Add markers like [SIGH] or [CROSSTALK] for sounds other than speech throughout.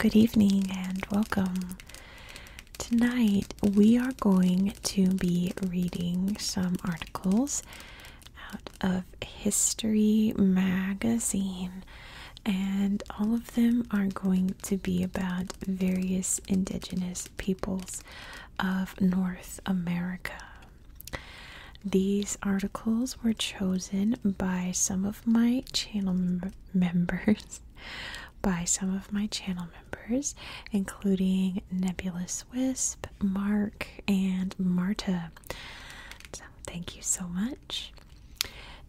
Good evening and welcome. Tonight we are going to be reading some articles out of History Magazine, and all of them are going to be about various indigenous peoples of North America. These articles were chosen by some of my channel members, [LAUGHS] by some of my channel members, including Nebulous Wisp, Mark, and Marta. So, thank you so much.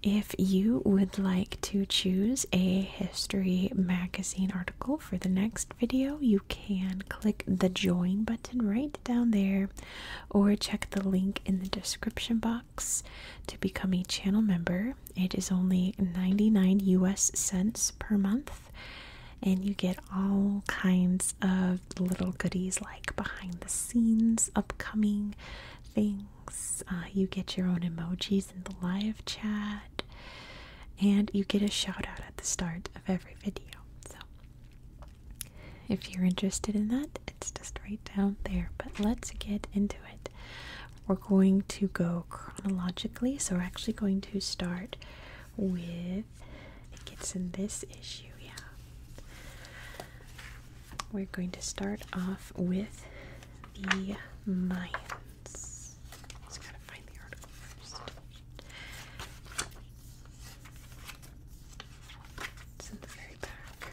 If you would like to choose a history magazine article for the next video, you can click the join button right down there or check the link in the description box to become a channel member. It is only 99 US cents per month and you get all kinds of little goodies like behind the scenes, upcoming things. Uh, you get your own emojis in the live chat, and you get a shout out at the start of every video. So, if you're interested in that, it's just right down there. But let's get into it. We're going to go chronologically, so we're actually going to start with it gets in this issue, yeah. We're going to start off with the Mayans. Just gotta find the article first. It's in the very back.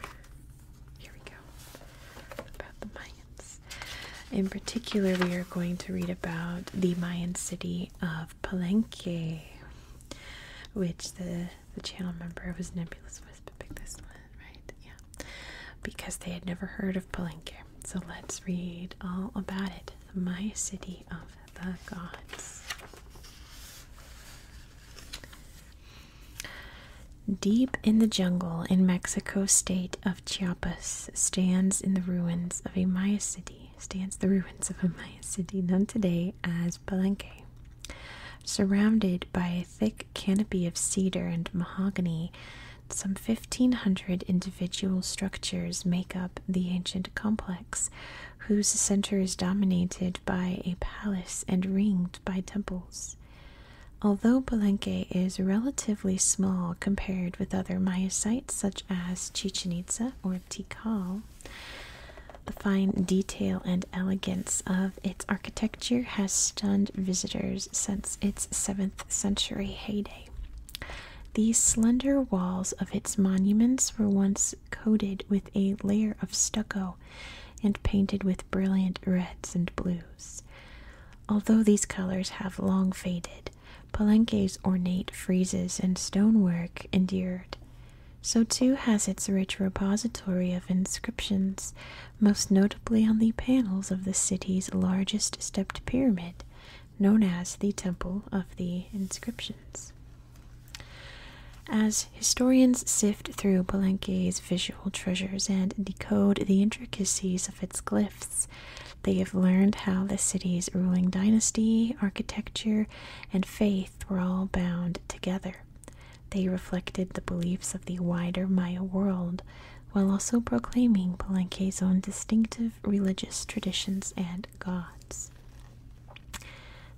Here we go. About the Mayans. In particular, we are going to read about the Mayan city of Palenque, which the the channel member was Nebulous Wisp picked this one, right? Yeah, because they had never heard of Palenque. So let's read all about it. My city of the gods. Deep in the jungle in Mexico state of Chiapas stands in the ruins of a Maya city stands the ruins of a Mayan city known today as Palenque. Surrounded by a thick canopy of cedar and mahogany, some 1,500 individual structures make up the ancient complex, whose center is dominated by a palace and ringed by temples. Although Palenque is relatively small compared with other Maya sites such as Chichen Itza or Portico. The fine detail and elegance of its architecture has stunned visitors since its 7th century heyday. The slender walls of its monuments were once coated with a layer of stucco and painted with brilliant reds and blues. Although these colors have long faded, Palenque's ornate friezes and stonework endured. So, too, has its rich repository of inscriptions, most notably on the panels of the city's largest stepped pyramid, known as the Temple of the Inscriptions. As historians sift through Palenque's visual treasures and decode the intricacies of its glyphs, they have learned how the city's ruling dynasty, architecture, and faith faith were all bound together. They reflected the beliefs of the wider Maya world while also proclaiming Palenque's own distinctive religious traditions and gods.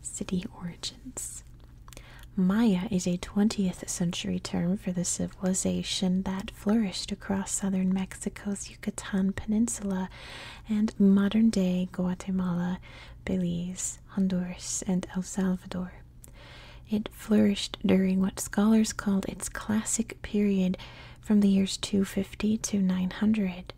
City origins Maya is a 20th century term for the civilization that flourished across southern Mexico's Yucatan Peninsula and modern day Guatemala, Belize, Honduras, and El Salvador. It flourished during what scholars called its classic period from the years 250 to 900.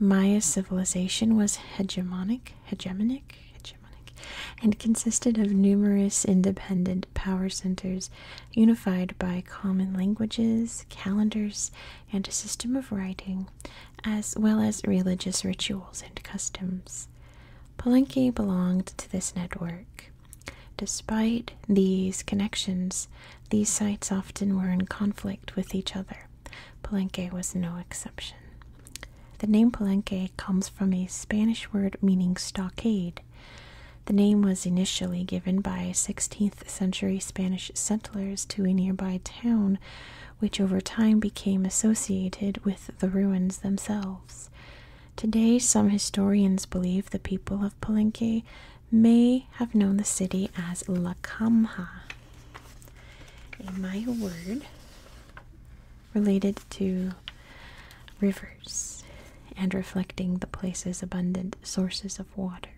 Maya civilization was hegemonic, hegemonic, hegemonic, and consisted of numerous independent power centers unified by common languages, calendars, and a system of writing as well as religious rituals and customs. Palenque belonged to this network. Despite these connections, these sites often were in conflict with each other. Palenque was no exception. The name Palenque comes from a Spanish word meaning stockade. The name was initially given by 16th century Spanish settlers to a nearby town, which over time became associated with the ruins themselves. Today, some historians believe the people of Palenque may have known the city as La Camja, a Maya word related to rivers and reflecting the place's abundant sources of water.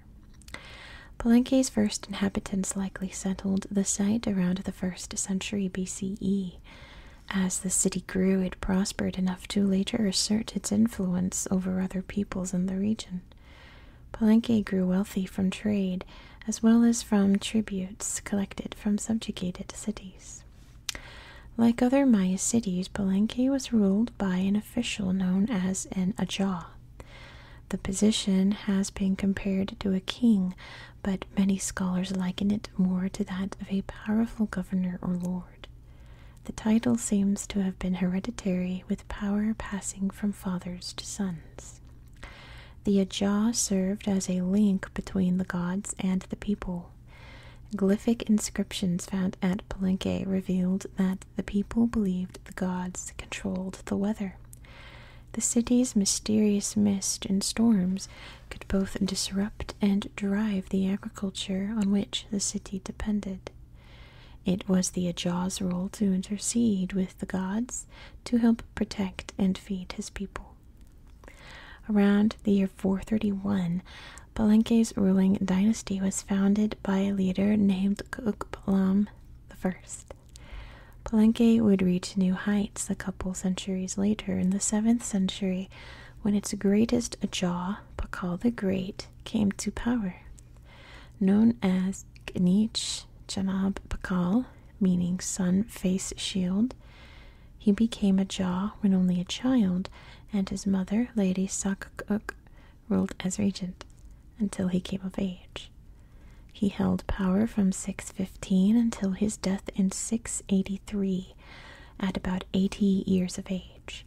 Palenque's first inhabitants likely settled the site around the first century BCE. As the city grew, it prospered enough to later assert its influence over other peoples in the region. Palenque grew wealthy from trade as well as from tributes collected from subjugated cities. Like other Maya cities, Palenque was ruled by an official known as an ajaw. The position has been compared to a king, but many scholars liken it more to that of a powerful governor or lord. The title seems to have been hereditary, with power passing from fathers to sons. The ajaw served as a link between the gods and the people. Glyphic inscriptions found at Palenque revealed that the people believed the gods controlled the weather. The city's mysterious mist and storms could both disrupt and drive the agriculture on which the city depended. It was the Ajaws' role to intercede with the gods to help protect and feed his people. Around the year 431, Palenque's ruling dynasty was founded by a leader named Kukbalam I. Palenque would reach new heights a couple centuries later in the 7th century when its greatest jaw, Pakal the Great, came to power. Known as Gnich Janab Pakal, meaning sun face shield, he became a jaw when only a child, and his mother, Lady Sakuk, ruled as regent until he came of age. He held power from 615 until his death in 683 at about 80 years of age.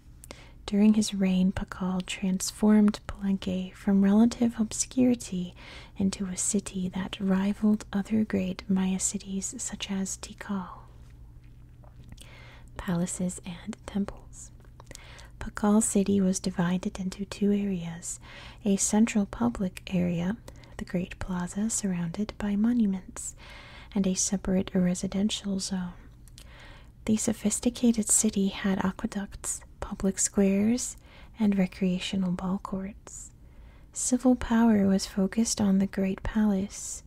During his reign, Pakal transformed Palenque from relative obscurity into a city that rivaled other great Maya cities such as Tikal. Palaces and temples. Pakal city was divided into two areas a central public area, the great plaza surrounded by monuments, and a separate residential zone. The sophisticated city had aqueducts, public squares, and recreational ball courts. Civil power was focused on the Great Palace.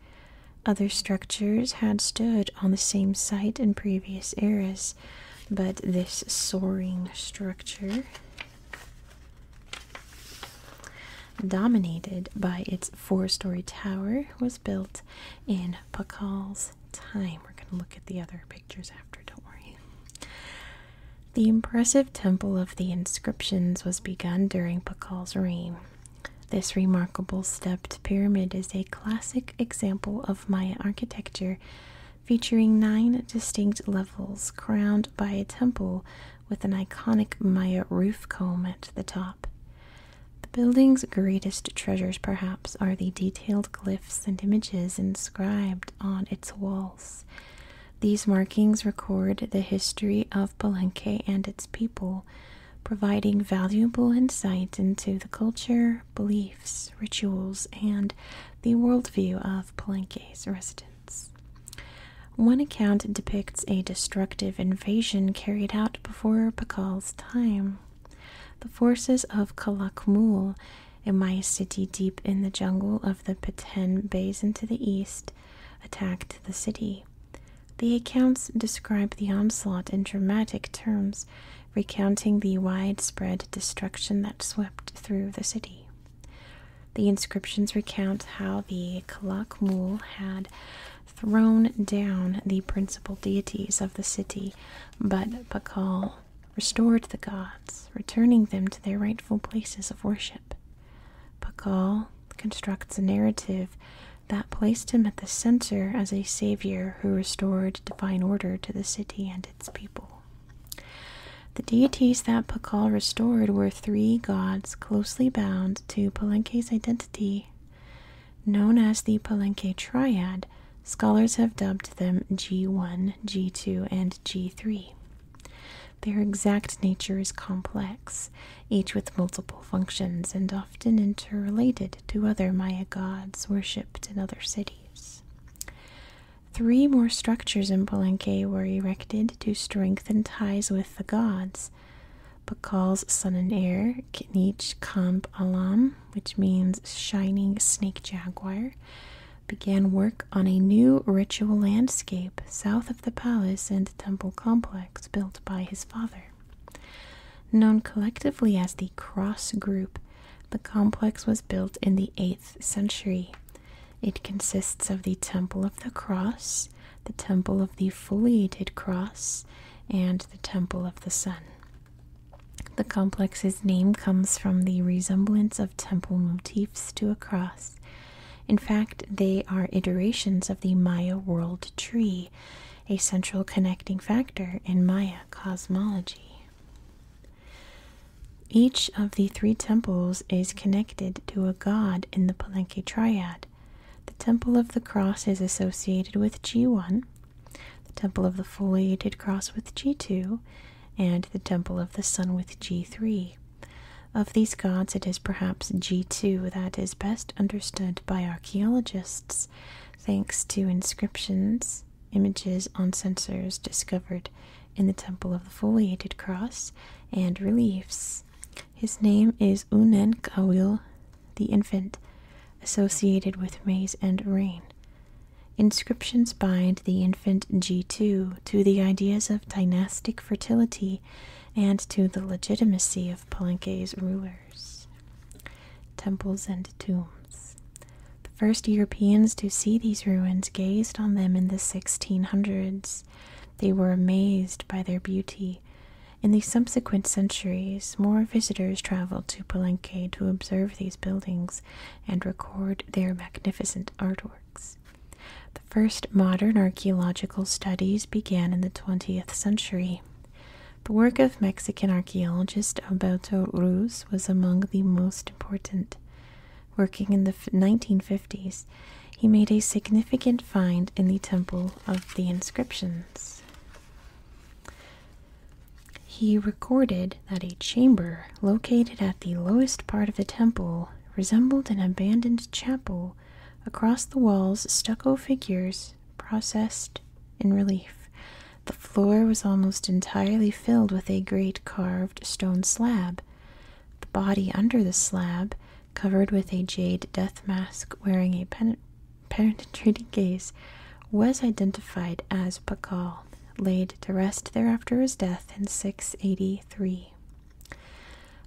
Other structures had stood on the same site in previous eras, but this soaring structure, dominated by its four story tower, was built in Pakal's time. We're going to look at the other pictures after, don't worry. The impressive Temple of the Inscriptions was begun during Pakal's reign. This remarkable stepped pyramid is a classic example of Maya architecture featuring nine distinct levels crowned by a temple with an iconic Maya roof comb at the top. The building's greatest treasures, perhaps, are the detailed glyphs and images inscribed on its walls. These markings record the history of Palenque and its people, providing valuable insight into the culture, beliefs, rituals, and the worldview of Palenque's residents. One account depicts a destructive invasion carried out before Pacal's time. The forces of Calakmul, a Maya city deep in the jungle of the Petén Basin to the east, attacked the city. The accounts describe the onslaught in dramatic terms, recounting the widespread destruction that swept through the city. The inscriptions recount how the Kalakmul had thrown down the principal deities of the city, but Pakal restored the gods, returning them to their rightful places of worship. Pakal constructs a narrative that placed him at the center as a savior who restored divine order to the city and its people. The deities that Pakal restored were three gods closely bound to Palenque's identity. Known as the Palenque Triad, scholars have dubbed them G1, G2, and G3. Their exact nature is complex, each with multiple functions and often interrelated to other Maya gods worshipped in other cities. Three more structures in Palenque were erected to strengthen ties with the gods. but Bacal's son and heir, Knich Kamp Alam, which means shining snake jaguar, began work on a new ritual landscape south of the palace and temple complex built by his father. Known collectively as the Cross Group, the complex was built in the 8th century. It consists of the Temple of the Cross, the Temple of the Foliated Cross, and the Temple of the Sun. The complex's name comes from the resemblance of temple motifs to a cross. In fact, they are iterations of the Maya world tree, a central connecting factor in Maya cosmology. Each of the three temples is connected to a god in the Palenque triad. The Temple of the Cross is associated with G1, the Temple of the Foliated Cross with G2, and the Temple of the Sun with G3. Of these gods, it is perhaps G2 that is best understood by archaeologists, thanks to inscriptions images on censers discovered in the Temple of the Foliated Cross, and reliefs. His name is Unen Unenkawil, the infant, associated with maize and rain. Inscriptions bind the infant G2 to the ideas of dynastic fertility and to the legitimacy of Palenque's rulers. Temples and tombs. The first Europeans to see these ruins gazed on them in the 1600s. They were amazed by their beauty. In the subsequent centuries, more visitors traveled to Palenque to observe these buildings and record their magnificent artworks. The first modern archaeological studies began in the 20th century. The work of Mexican archaeologist Alberto Ruiz was among the most important. Working in the 1950s, he made a significant find in the Temple of the Inscriptions. He recorded that a chamber located at the lowest part of the temple resembled an abandoned chapel. Across the walls, stucco figures processed in relief the floor was almost entirely filled with a great carved stone slab. The body under the slab, covered with a jade death mask wearing a pen gaze, was identified as Pakal, laid to rest thereafter his death in 683.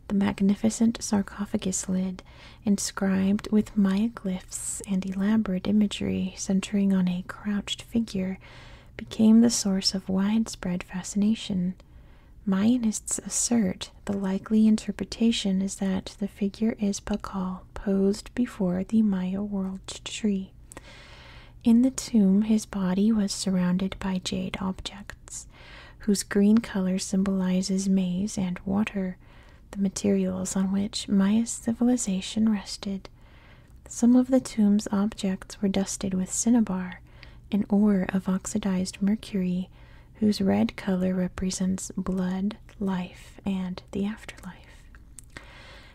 The magnificent sarcophagus lid, inscribed with Maya glyphs and elaborate imagery centering on a crouched figure became the source of widespread fascination. Mayanists assert the likely interpretation is that the figure is Pakal posed before the Maya world tree. In the tomb, his body was surrounded by jade objects, whose green color symbolizes maize and water, the materials on which Maya civilization rested. Some of the tomb's objects were dusted with cinnabar, an ore of oxidized mercury whose red color represents blood, life, and the afterlife.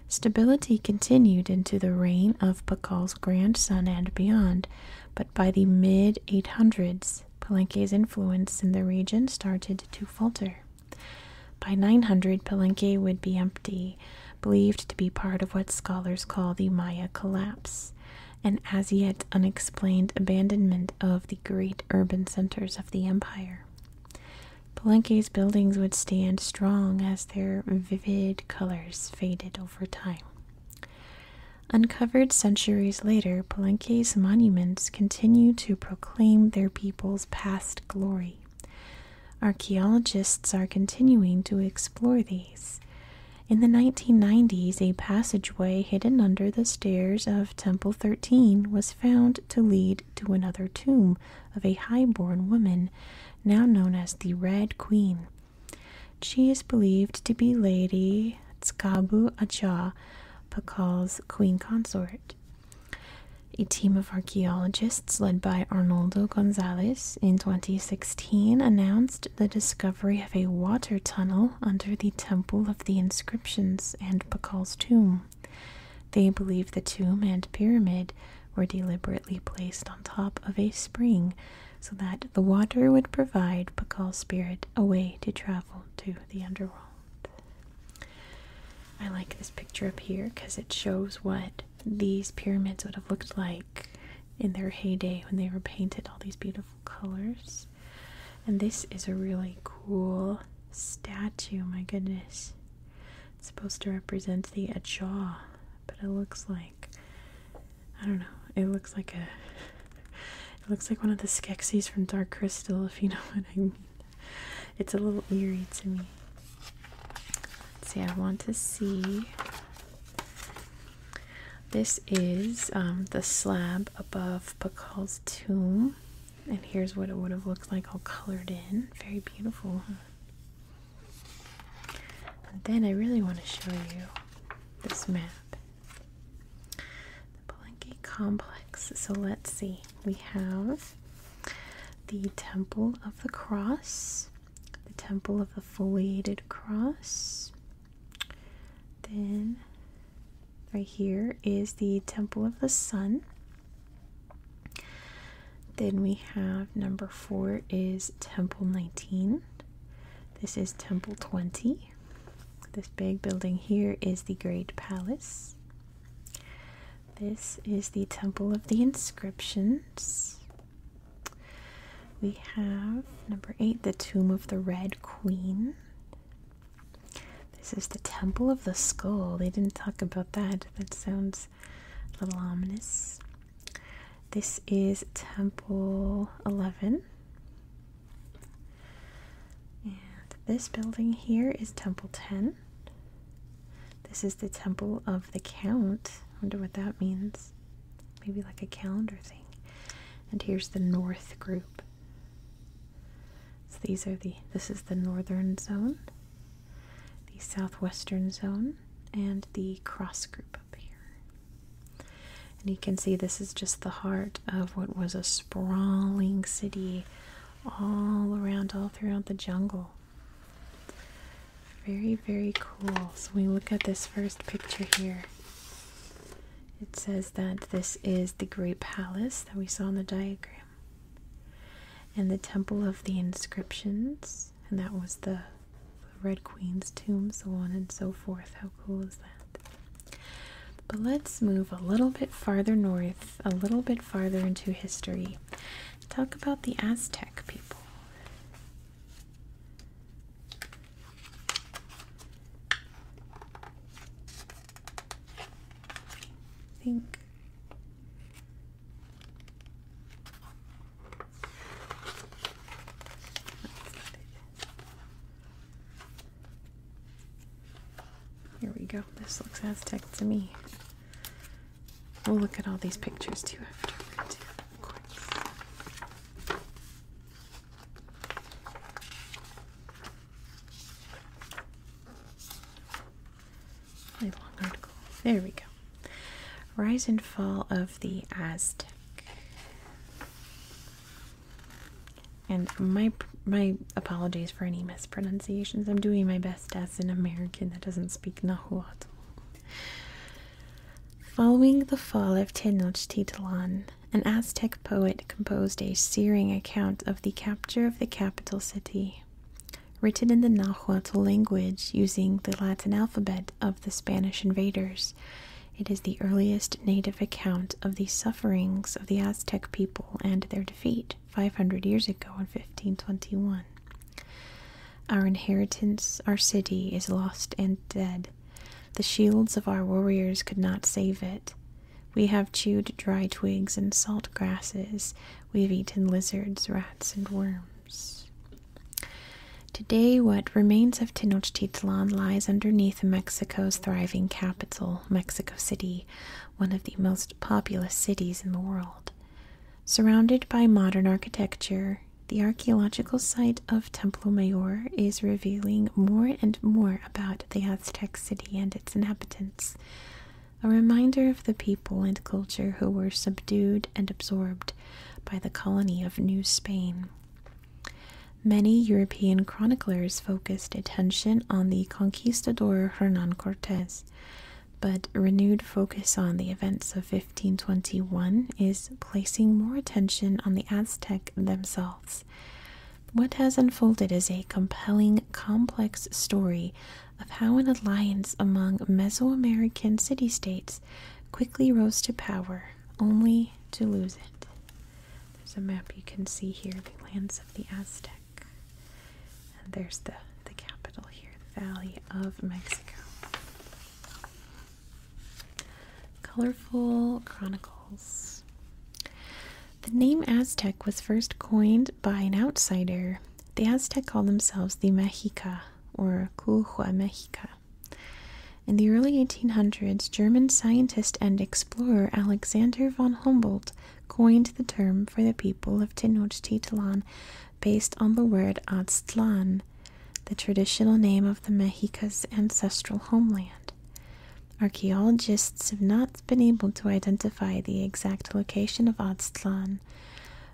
Stability continued into the reign of Pakal's grandson and beyond, but by the mid 800s, Palenque's influence in the region started to falter. By 900, Palenque would be empty, believed to be part of what scholars call the Maya collapse, an as yet unexplained abandonment of the great urban centers of the empire. Palenque's buildings would stand strong as their vivid colors faded over time. Uncovered centuries later, Palenque's monuments continue to proclaim their people's past glory. Archaeologists are continuing to explore these. In the 1990s, a passageway hidden under the stairs of Temple 13 was found to lead to another tomb of a high-born woman, now known as the Red Queen. She is believed to be Lady Tskabu Acha, Pakal's queen consort. A team of archaeologists led by Arnoldo Gonzalez in 2016 announced the discovery of a water tunnel under the Temple of the Inscriptions and Pakal's tomb. They believe the tomb and pyramid were deliberately placed on top of a spring so that the water would provide Pakal's spirit a way to travel to the underworld. I like this picture up here because it shows what these pyramids would have looked like in their heyday when they were painted all these beautiful colors. And this is a really cool statue, my goodness. It's supposed to represent the Ajah, but it looks like I don't know. It looks like a [LAUGHS] it looks like one of the Skeksis from Dark Crystal, if you know [LAUGHS] what I mean. It's a little eerie to me. Let's see, I want to see. This is um, the slab above Pakal's tomb. And here's what it would have looked like all colored in. Very beautiful. then I really want to show you this map. The Palenque complex. So let's see we have the Temple of the Cross, the Temple of the Foliated Cross. Then, right here is the Temple of the Sun. Then we have number four is Temple 19. This is Temple 20. This big building here is the Great Palace. This is the Temple of the Inscriptions. We have number eight, the Tomb of the Red Queen. This is the Temple of the Skull. They didn't talk about that. That sounds a little ominous. This is Temple 11. And this building here is Temple 10. This is the temple of the count. I wonder what that means. Maybe like a calendar thing. And here's the north group. So these are the this is the northern zone, the southwestern zone, and the cross group up here. And you can see this is just the heart of what was a sprawling city all around all throughout the jungle. Very, very cool. So we look at this first picture here. It says that this is the Great Palace that we saw in the diagram. And the Temple of the Inscriptions, and that was the, the Red Queen's tomb, so on and so forth. How cool is that? But let's move a little bit farther north, a little bit farther into history. Talk about the Aztec people. I think here we go. This looks Aztec to me. We'll look at all these pictures too afterwards, long article. There we go. Rise and fall of the Aztec. And my my apologies for any mispronunciations. I'm doing my best as an American that doesn't speak Nahuatl. Following the fall of Tenochtitlan, an Aztec poet composed a searing account of the capture of the capital city, written in the Nahuatl language using the Latin alphabet of the Spanish invaders. It is the earliest native account of the sufferings of the Aztec people and their defeat. 500 years ago in 1521. Our inheritance, our city, is lost and dead. The shields of our warriors could not save it. We have chewed dry twigs and salt grasses. We have eaten lizards, rats, and worms. Today, what remains of Tenochtitlan lies underneath Mexico's thriving capital, Mexico City, one of the most populous cities in the world. Surrounded by modern architecture, the archaeological site of Templo Mayor is revealing more and more about the Aztec city and its inhabitants, a reminder of the people and culture who were subdued and absorbed by the colony of New Spain. Many European chroniclers focused attention on the conquistador Hernan Cortes, but renewed focus on the events of 1521 is placing more attention on the Aztec themselves. What has unfolded is a compelling, complex story of how an alliance among Mesoamerican city states quickly rose to power, only to lose it. There's a map you can see here, the lands of the Aztecs. And there's the, the capital here, the Valley of Mexico. Colorful Chronicles. The name Aztec was first coined by an outsider. The Aztec called themselves the Mexica or Cuhua Mexica. In the early 1800s, German scientist and explorer Alexander von Humboldt coined the term for the people of Tenochtitlan based on the word Aztlan, the traditional name of the Mexica's ancestral homeland. Archaeologists have not been able to identify the exact location of Aztlan,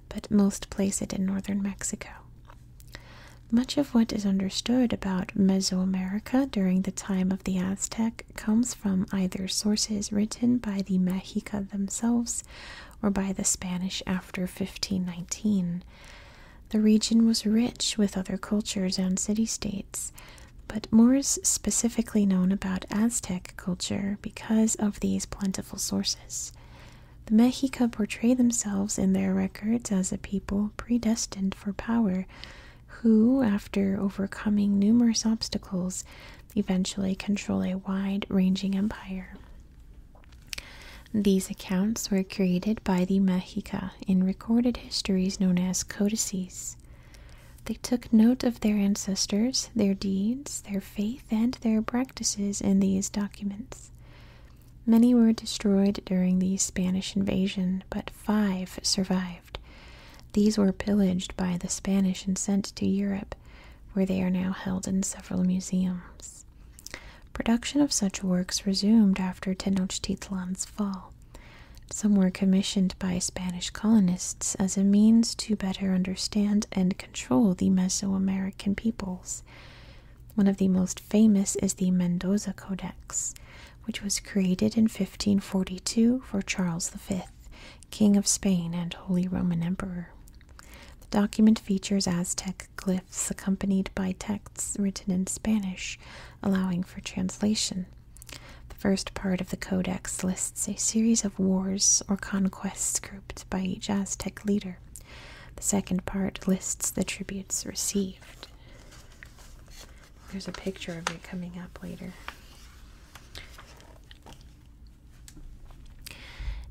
but most place it in northern Mexico. Much of what is understood about Mesoamerica during the time of the Aztec comes from either sources written by the Mexica Mexica themselves or by the Spanish after 1519. The region was rich with other cultures and city states, but more is specifically known about Aztec culture because of these plentiful sources. The Mexica portray themselves in their records as a people predestined for power, who, after overcoming numerous obstacles, eventually control a wide ranging empire. These accounts were created by the Mexica in recorded histories known as codices. They took note of their ancestors, their deeds, their faith, and their practices in these documents. Many were destroyed during the Spanish invasion, but five survived. These were pillaged by the Spanish and sent to Europe, where they are now held in several museums. Production of such works resumed after Tenochtitlan's fall. Some were commissioned by Spanish colonists as a means to better understand and control the Mesoamerican peoples. One of the most famous is the Mendoza Codex, which was created in 1542 for Charles V King of Spain and Holy Roman Emperor. The document features Aztec glyphs accompanied by texts written in Spanish, allowing for translation. The first part of the codex lists a series of wars or conquests grouped by each Aztec leader. The second part lists the tributes received. There's a picture of it coming up later.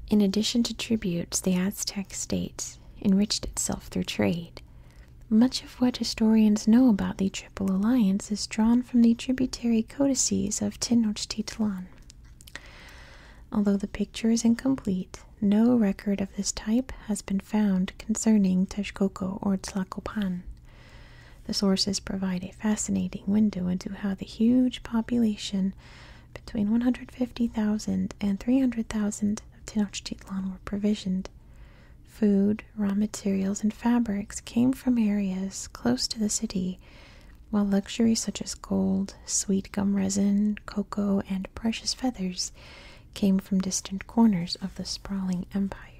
In addition to tributes, the Aztec state enriched itself through trade. Much of what historians know about the Triple Alliance is drawn from the tributary codices of Tenochtitlan. Although the picture is incomplete, no record of this type has been found concerning Texcoco or Tlacopan. The sources provide a fascinating window into how the huge population between 150,000 and 300,000 of Tenochtitlan were provisioned. Food, raw materials, and fabrics came from areas close to the city, while luxuries such as gold, sweet gum resin, cocoa, and precious feathers came from distant corners of the sprawling empire.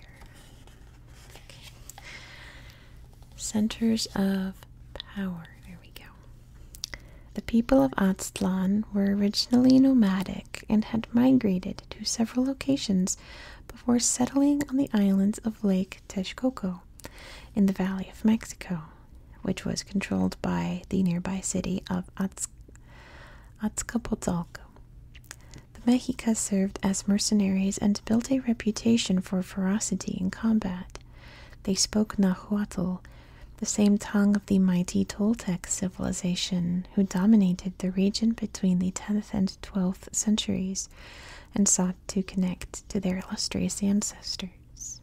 Centers of power. There we go. The people of Aztlan were originally nomadic and had migrated to several locations before settling on the islands of Lake Texcoco in the Valley of Mexico, which was controlled by the nearby city of Azcapotzalco. The Mexicas served as mercenaries and built a reputation for ferocity in combat. They spoke Nahuatl, the same tongue of the mighty Toltec civilization who dominated the region between the 10th and 12th centuries and sought to connect to their illustrious ancestors.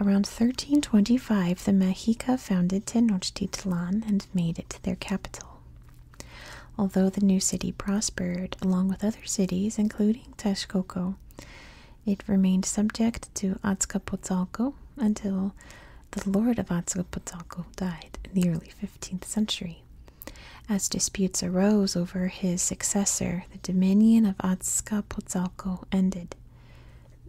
Around 1325, the Mexica founded Tenochtitlan and made it their capital. Although the new city prospered along with other cities, including Texcoco, it remained subject to Azcapotzalco until the Lord of Azcapotzalco died in the early 15th century. As disputes arose over his successor, the dominion of Azcapotzalco ended.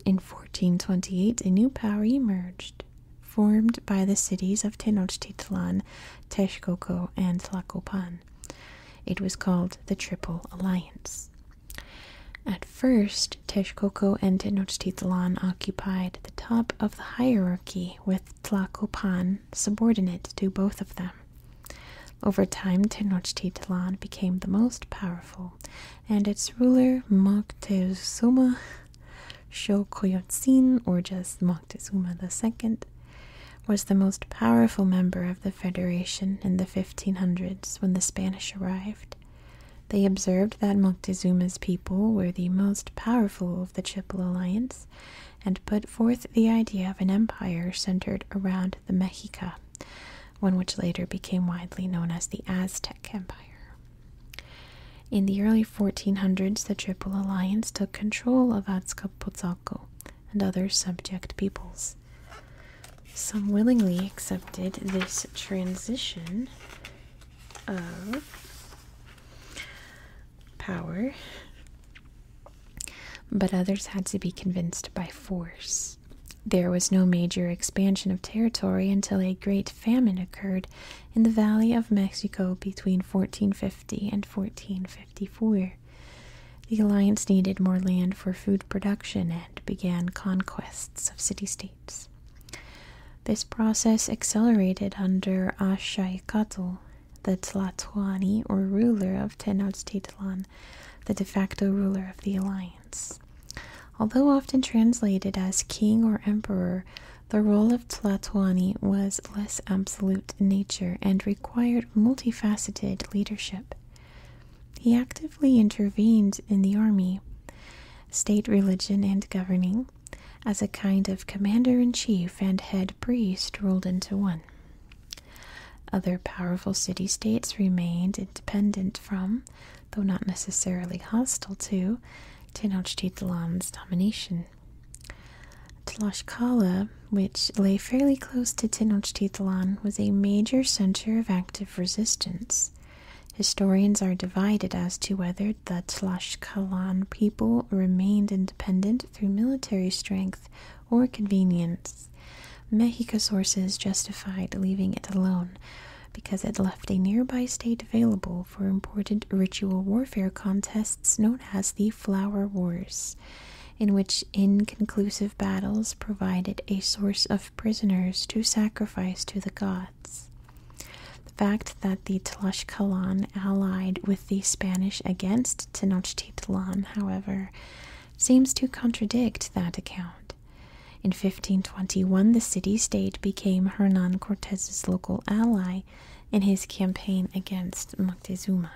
In 1428, a new power emerged, formed by the cities of Tenochtitlan, Texcoco, and Tlacopan. It was called the Triple Alliance. At first, Texcoco and Tenochtitlan occupied the top of the hierarchy, with Tlacopan subordinate to both of them. Over time, Tenochtitlan became the most powerful, and its ruler Moctezuma Xocoyotzin, or just Moctezuma Moctezuma II, was the most powerful member of the Federation in the 1500s when the Spanish arrived. They observed that Moctezuma's people were the most powerful of the Triple Alliance and put forth the idea of an empire centered around the Mexica, one which later became widely known as the Aztec Empire. In the early 1400s, the Triple Alliance took control of Azcapotzalco, and other subject peoples. Some willingly accepted this transition of power, but others had to be convinced by force. There was no major expansion of territory until a great famine occurred in the Valley of Mexico between 1450 and fourteen fifty. The alliance needed more land for food production and began conquests of city states. This process accelerated under Ashai the Tlatwani or ruler of Tenochtitlan, the de facto ruler of the alliance. Although often translated as king or emperor, the role of Tlatwani was less absolute in nature and required required multifaceted leadership. He actively intervened in the army, state religion, and governing, as a kind of commander in chief and head priest rolled into one. Other powerful city states remained independent from, though not necessarily hostile to, Tenochtitlan's domination. Tlaxcala, which lay fairly close to Tenochtitlan, was a major center of active resistance. Historians are divided as to whether the Tlaxcalan people remained independent through military strength or convenience. Mexica sources justified leaving it alone because it left a nearby state available for important ritual warfare contests known as the Flower Wars in which inconclusive battles provided a source of prisoners to sacrifice to the gods. The fact that the Tlaxcalan allied with the Spanish against Tenochtitlan, however, seems to contradict that account. In 1521, the city state became Hernan Cortez's local ally in his campaign against Moctezuma,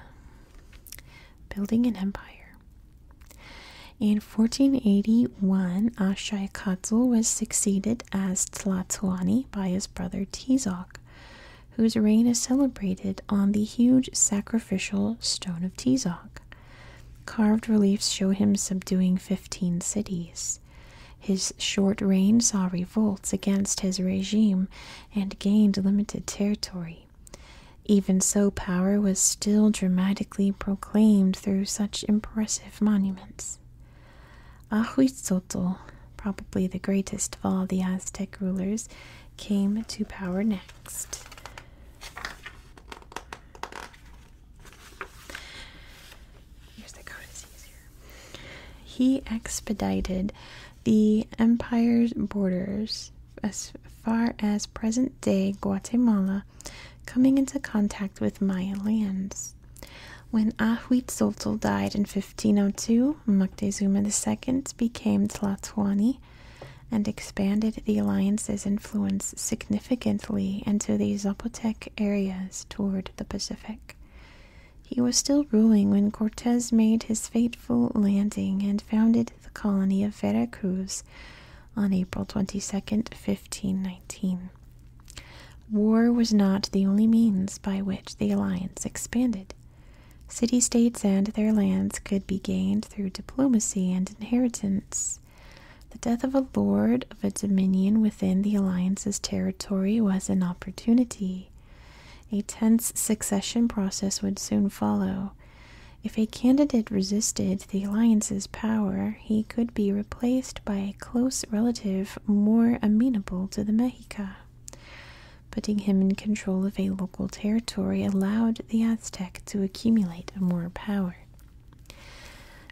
building an empire. In 1481, Ashurikatl was succeeded as Tlatoani by his brother Tezoc, whose reign is celebrated on the huge sacrificial stone of Tezoc. Carved reliefs show him subduing 15 cities. His short reign saw revolts against his regime and gained limited territory. Even so, power was still dramatically proclaimed through such impressive monuments. Ahuitzotl, probably the greatest of all the Aztec rulers, came to power next. He expedited the empire's borders as far as present day Guatemala, coming into contact with Maya lands. When Ahuitzotl died in 1502, Moctezuma II became Tlatoani and expanded the alliance's influence significantly into the Zapotec areas toward the Pacific. He was still ruling when Cortes made his fateful landing and founded the colony of Vera Cruz on April 22, 1519. War was not the only means by which the alliance expanded. City states and their lands could be gained through diplomacy and inheritance. The death of a lord of a dominion within the alliance's territory was an opportunity. A tense succession process would soon follow. If a candidate resisted the alliance's power, he could be replaced by a close relative more amenable to the Mexica. Putting him in control of a local territory allowed the Aztec to accumulate more power.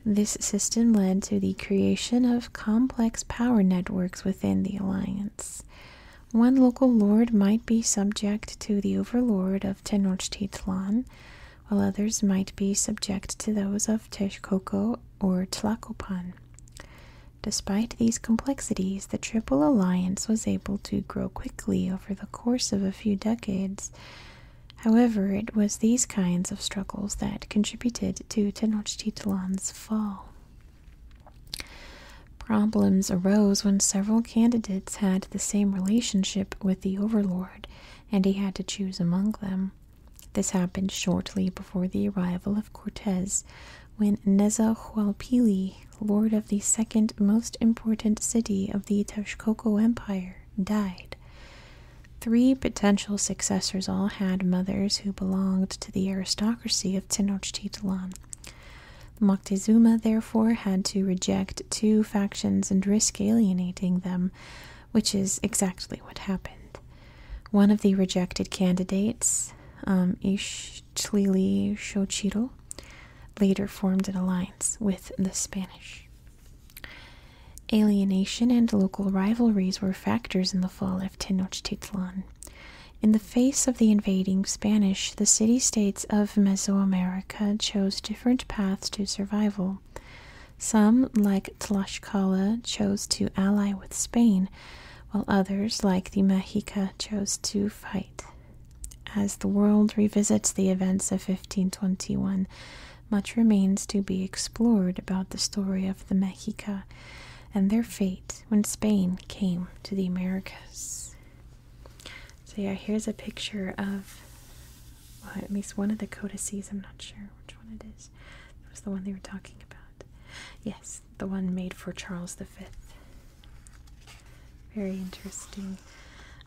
This system led to the creation of complex power networks within the alliance. One local lord might be subject to the overlord of Tenochtitlan, while others might be subject to those of Texcoco or Tlacopan. Despite these complexities, the Triple Alliance was able to grow quickly over the course of a few decades. However, it was these kinds of struggles that contributed to Tenochtitlan's fall. Problems arose when several candidates had the same relationship with the overlord, and he had to choose among them. This happened shortly before the arrival of Cortes, when Nezahualpilli, lord of the second most important city of the Texcoco Empire, died. Three potential successors all had mothers who belonged to the aristocracy of Tenochtitlan. Moctezuma therefore had to reject two factions and risk alienating them, which is exactly what happened. One of the rejected candidates, um, Ixtlili Xochitl, later formed an alliance with the Spanish. Alienation and local rivalries were factors in the fall of Tenochtitlan. In the face of the invading Spanish, the city states of Mesoamerica chose different paths to survival. Some, like Tlaxcala, chose to ally with Spain, while others, like the Mexica, chose to fight. As the world revisits the events of 1521, much remains to be explored about the story of the Mexica, and their fate when Spain came to the Americas. So, yeah, here's a picture of well, at least one of the codices. I'm not sure which one it is. That was the one they were talking about. Yes, the one made for Charles V. Very interesting.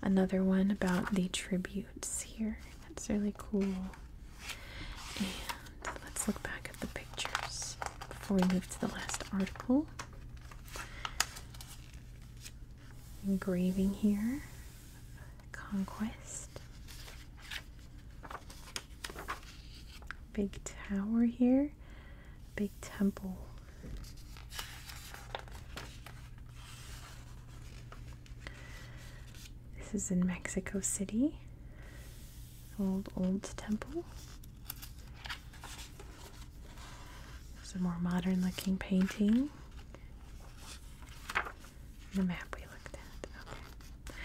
Another one about the tributes here. That's really cool let's look back at the pictures before we move to the last article. Engraving here, conquest. Big tower here, big temple. This is in Mexico City old old temple. It's a more modern looking painting. The map we looked at. Okay.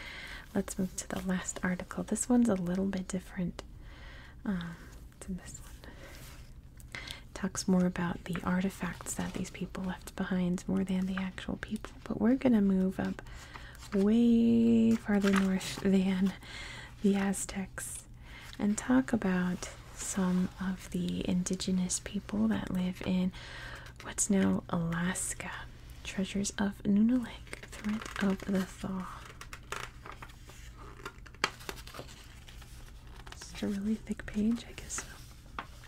Let's move to the last article. This one's a little bit different um, to this one. talks more about the artifacts that these people left behind more than the actual people, but we're going to move up way farther north than the Aztecs and talk about some of the indigenous people that live in what's now Alaska. Treasures of Nunalake, Threat of the Thaw. It's a really thick page, I guess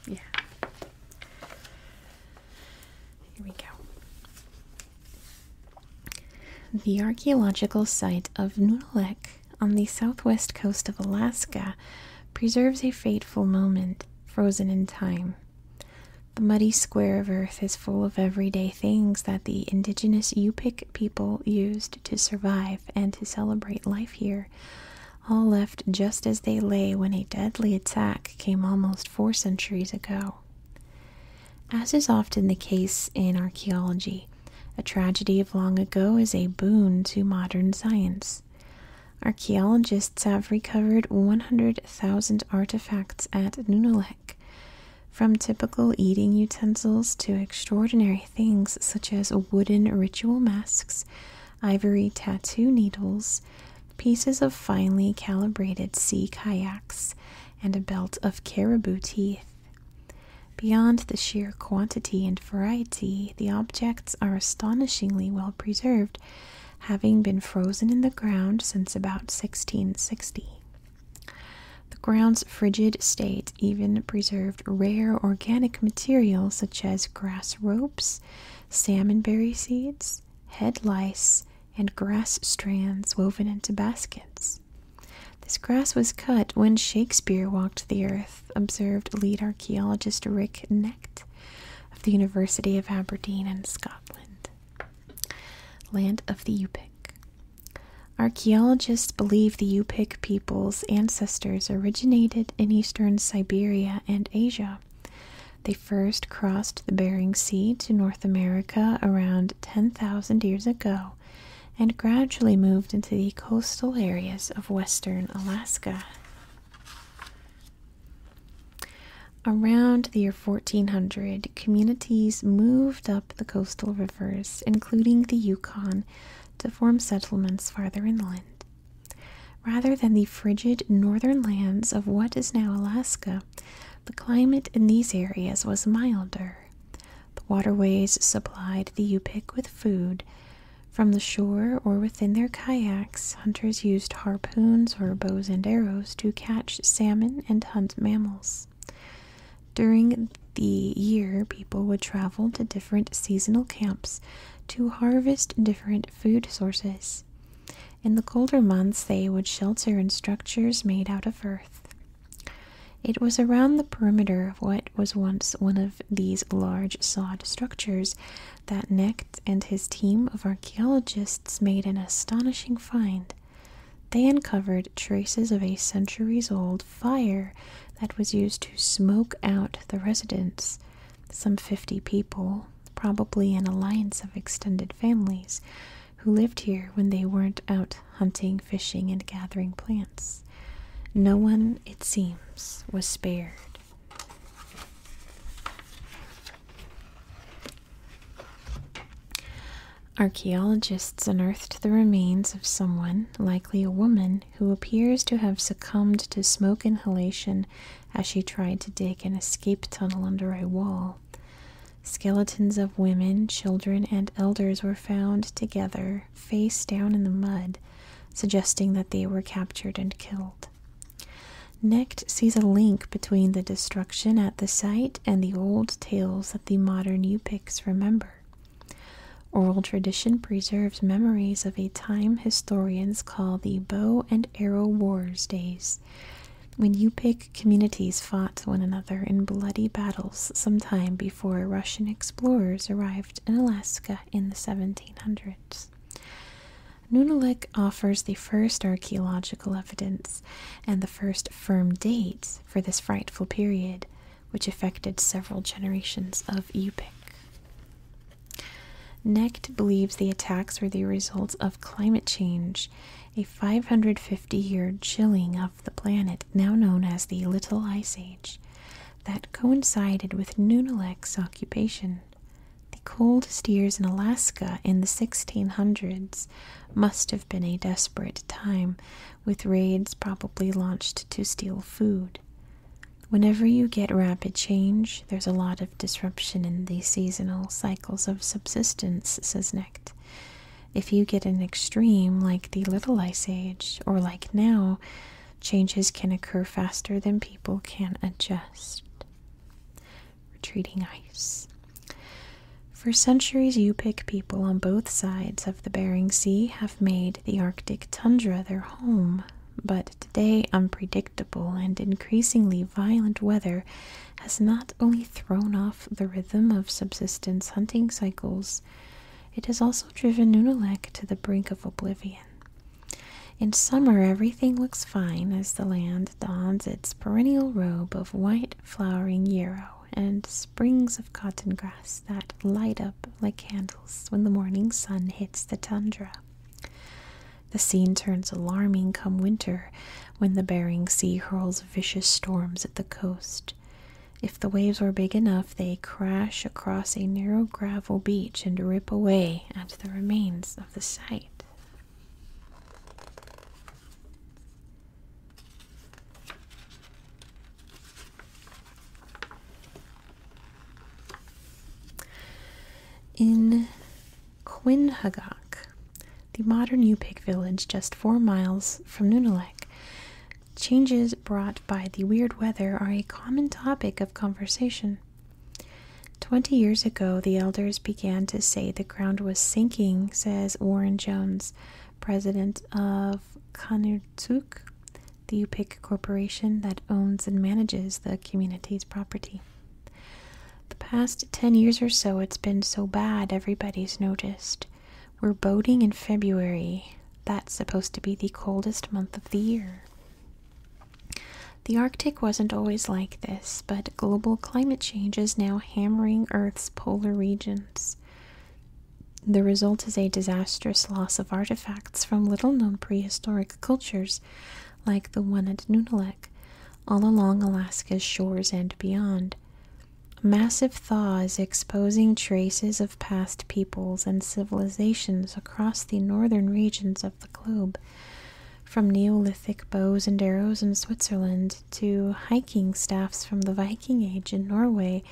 Yeah. Here we go. The archaeological site of Nunalek on the southwest coast of Alaska preserves a fateful moment frozen in time. The muddy square of earth is full of everyday things that the indigenous Yupik people used to survive and to celebrate life here, all left just as they lay when a deadly attack came almost four centuries ago. As is often the case in archaeology, a tragedy of long ago is a boon to modern science. Archaeologists have recovered 100,000 artifacts at Nunalek, from typical eating utensils to extraordinary things such as wooden ritual masks, ivory tattoo needles, pieces of finely calibrated sea kayaks, and a belt of caribou teeth. Beyond the sheer quantity and variety, the objects are astonishingly well preserved, having been frozen in the ground since about 1660. The ground's frigid state even preserved rare organic material such as grass ropes, salmonberry seeds, head lice, and grass strands woven into baskets. This grass was cut when Shakespeare walked the earth, observed lead archaeologist Rick Necht of the University of Aberdeen in Scotland. Land of the Yupik. Archaeologists believe the Yupik people's ancestors originated in eastern Siberia and Asia. They first crossed the Bering Sea to North America around 10,000 years ago and gradually moved into the coastal areas of western Alaska. Around the year 1400, communities moved up the coastal rivers, including the Yukon, to form settlements farther inland. Rather than the frigid northern lands of what is now Alaska, the climate in these areas was milder. The waterways supplied the Yupik with food. From the shore or within their kayaks, hunters used harpoons or bows and arrows to catch salmon and hunt mammals. During the year, people would travel to different seasonal camps to harvest different food sources. In the colder months, they would shelter in structures made out of earth. It was around the perimeter of what was once one of these large sod structures that Necht and his team of archaeologists made an astonishing find. They uncovered traces of a centuries old fire that was used to smoke out the residents. Some 50 people, probably an alliance of extended families, who lived here when they weren't out hunting, fishing, and gathering plants. No one, it seems, was spared. Archaeologists unearthed the remains of someone, likely a woman, who appears to have succumbed to smoke inhalation as she tried to dig an escape tunnel under a wall. Skeletons of women, children, and elders were found together, face down in the mud, suggesting that they were captured and killed. Necht sees a link between the destruction at the site and the old tales that the modern Yupiks remember. Oral tradition preserves memories of a time historians call the bow and arrow wars days. When Yupik communities fought one another in bloody battles some time before Russian explorers arrived in Alaska in the 1700s. Nunalik offers the first archaeological evidence and the first firm dates for this frightful period, which affected several generations of Yupik. Necht believes the attacks were the results of climate change a 550 year chilling of the planet, now known as the Little Ice Age, that coincided with Nunalek's occupation. The coldest years in Alaska in the 1600s must have been a desperate time, with raids probably launched to steal food. Whenever you get rapid change, there's a lot of disruption in the seasonal cycles of subsistence, says Necht. If you get an extreme like the Little Ice Age or like now, changes can occur faster than people can adjust. Retreating ice. For centuries, Yupik people on both sides of the Bering Sea have made the Arctic tundra their home, but today, unpredictable and increasingly violent weather has not only thrown off the rhythm of subsistence hunting cycles, it has also driven Nunalek to the brink of oblivion. In summer, everything looks fine as the land dons its perennial robe of white flowering yarrow and springs of cotton grass that light up like candles when the morning sun hits the tundra. The scene turns alarming come winter when the Bering Sea hurls vicious storms at the coast. If the waves are big enough, they crash across a narrow gravel beach and rip away at the remains of the site. In Quinhagak, the modern Yupik village just four miles from Nunalek. Changes brought by the weird weather are a common topic of conversation. Twenty years ago, the elders began to say the ground was sinking, says Warren Jones, president of Kanurtsuk, the Yupik corporation that owns and manages the community's property. The past 10 years or so, it's been so bad, everybody's noticed. We're boating in February. That's supposed to be the coldest month of the year. The Arctic wasn't always like this, but global climate change is now hammering Earth's polar regions. The result is a disastrous loss of artifacts from little known prehistoric cultures like the one at Nunalek, all along Alaska's shores and beyond. Massive thaws exposing traces of past peoples and civilizations across the northern regions of the globe, from Neolithic bows and arrows in Switzerland to hiking staffs from the Viking Age in Norway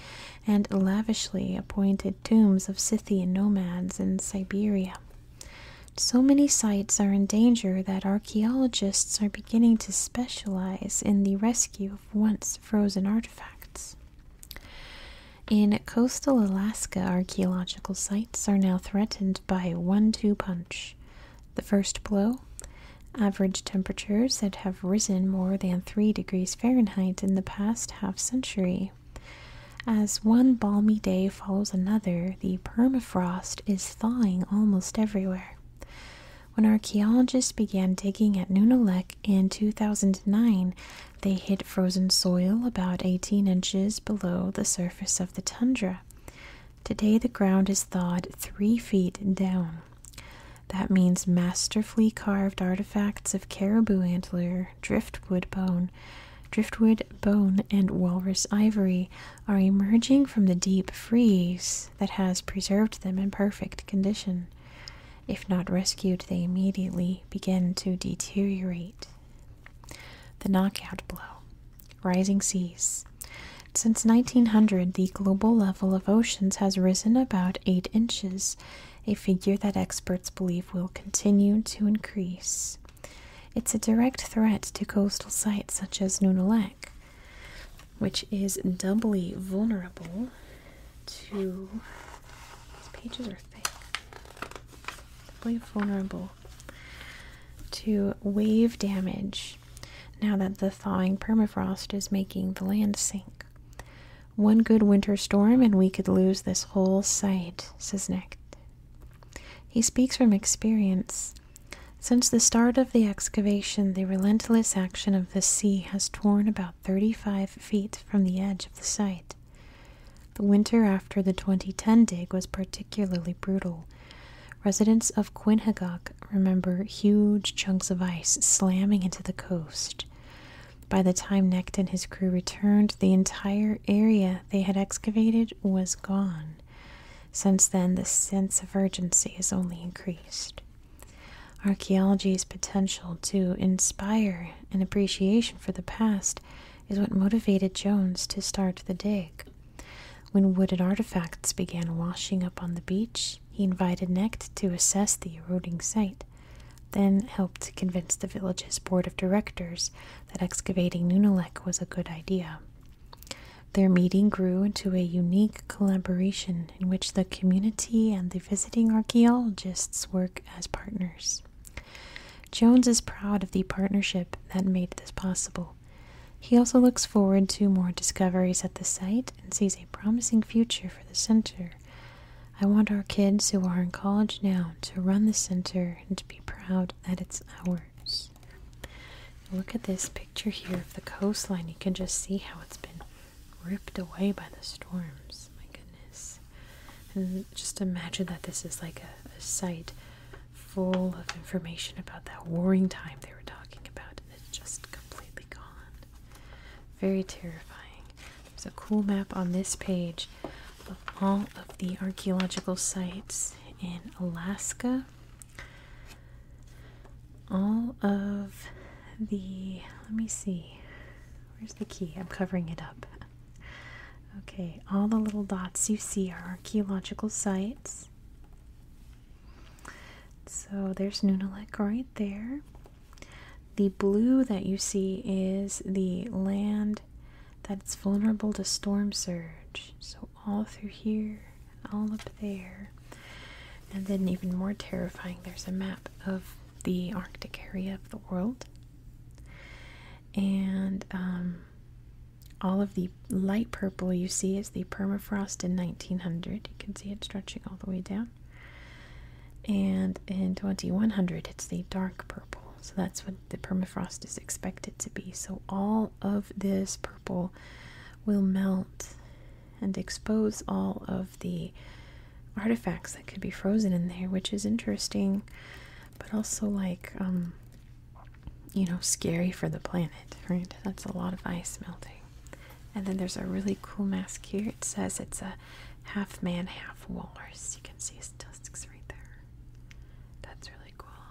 and lavishly appointed tombs of Scythian nomads in Siberia. So many sites are in danger that our archaeologists are beginning to specialize in the rescue of once frozen artifacts. In coastal Alaska, archaeological sites are now threatened by one two punch. The first blow average temperatures that have risen more than 3 degrees Fahrenheit in the past half century. As one balmy day follows another, the permafrost is thawing almost everywhere. When archaeologists began digging at Nunalek in 2009, they hit frozen soil about 18 inches below the surface of the tundra. Today, the ground is thawed three feet down. That means masterfully carved artifacts of caribou antler, driftwood bone, driftwood bone, and walrus ivory are emerging from the deep freeze that has preserved them in perfect condition. If not rescued, they immediately begin to deteriorate. The knockout blow. Rising seas. Since 1900, the global level of oceans has risen about 8 inches, a figure that experts believe will continue to increase. It's a direct threat to coastal sites such as Nunalak which is doubly vulnerable to. These pages are thick. Doubly vulnerable to wave damage now that the thawing permafrost is making the land sink. One good winter storm, and we could lose this whole site, says Necht. He speaks from experience. Since the start of the excavation, the relentless action of the sea has torn about 35 feet from the edge of the site. The winter after the 2010 dig was particularly brutal. Residents of Quinhagak remember huge chunks of ice slamming into the coast. By the time Necht and his crew returned, the entire area they had excavated was gone. Since then, the sense of urgency has only increased. Archaeology's potential to inspire an appreciation for the past is what motivated Jones to start the dig. When wooden artifacts began washing up on the beach, he invited Necht to assess the eroding site, then helped convince the village's board of directors that excavating Nunalek was a good idea. Their meeting grew into a unique collaboration in which the community and the visiting archaeologists work as partners. Jones is proud of the partnership that made this possible. He also looks forward to more discoveries at the site and sees a promising future for the center. I want our kids who are in college now to run the center and to be proud that it's ours. Look at this picture here of the coastline. You can just see how it's been ripped away by the storms. My goodness. And just imagine that this is like a, a site full of information about that warring time they were talking about, and it's just completely gone. Very terrifying. There's a cool map on this page of all of the archaeological sites in Alaska all of the let me see where's the key i'm covering it up okay all the little dots you see are archaeological sites so there's nunalek right there the blue that you see is the land that's vulnerable to storm surge so all through here, all up there. And then, even more terrifying, there's a map of the Arctic area of the world. And um, all of the light purple you see is the permafrost in 1900. You can see it stretching all the way down. And in 2100, it's the dark purple. So that's what the permafrost is expected to be. So all of this purple will melt and expose all of the artifacts that could be frozen in there, which is interesting, but also like, um, you know, scary for the planet, right? That's a lot of ice melting. And then there's a really cool mask here. It says it's a half man, half walrus. You can see his tusks right there. That's really cool.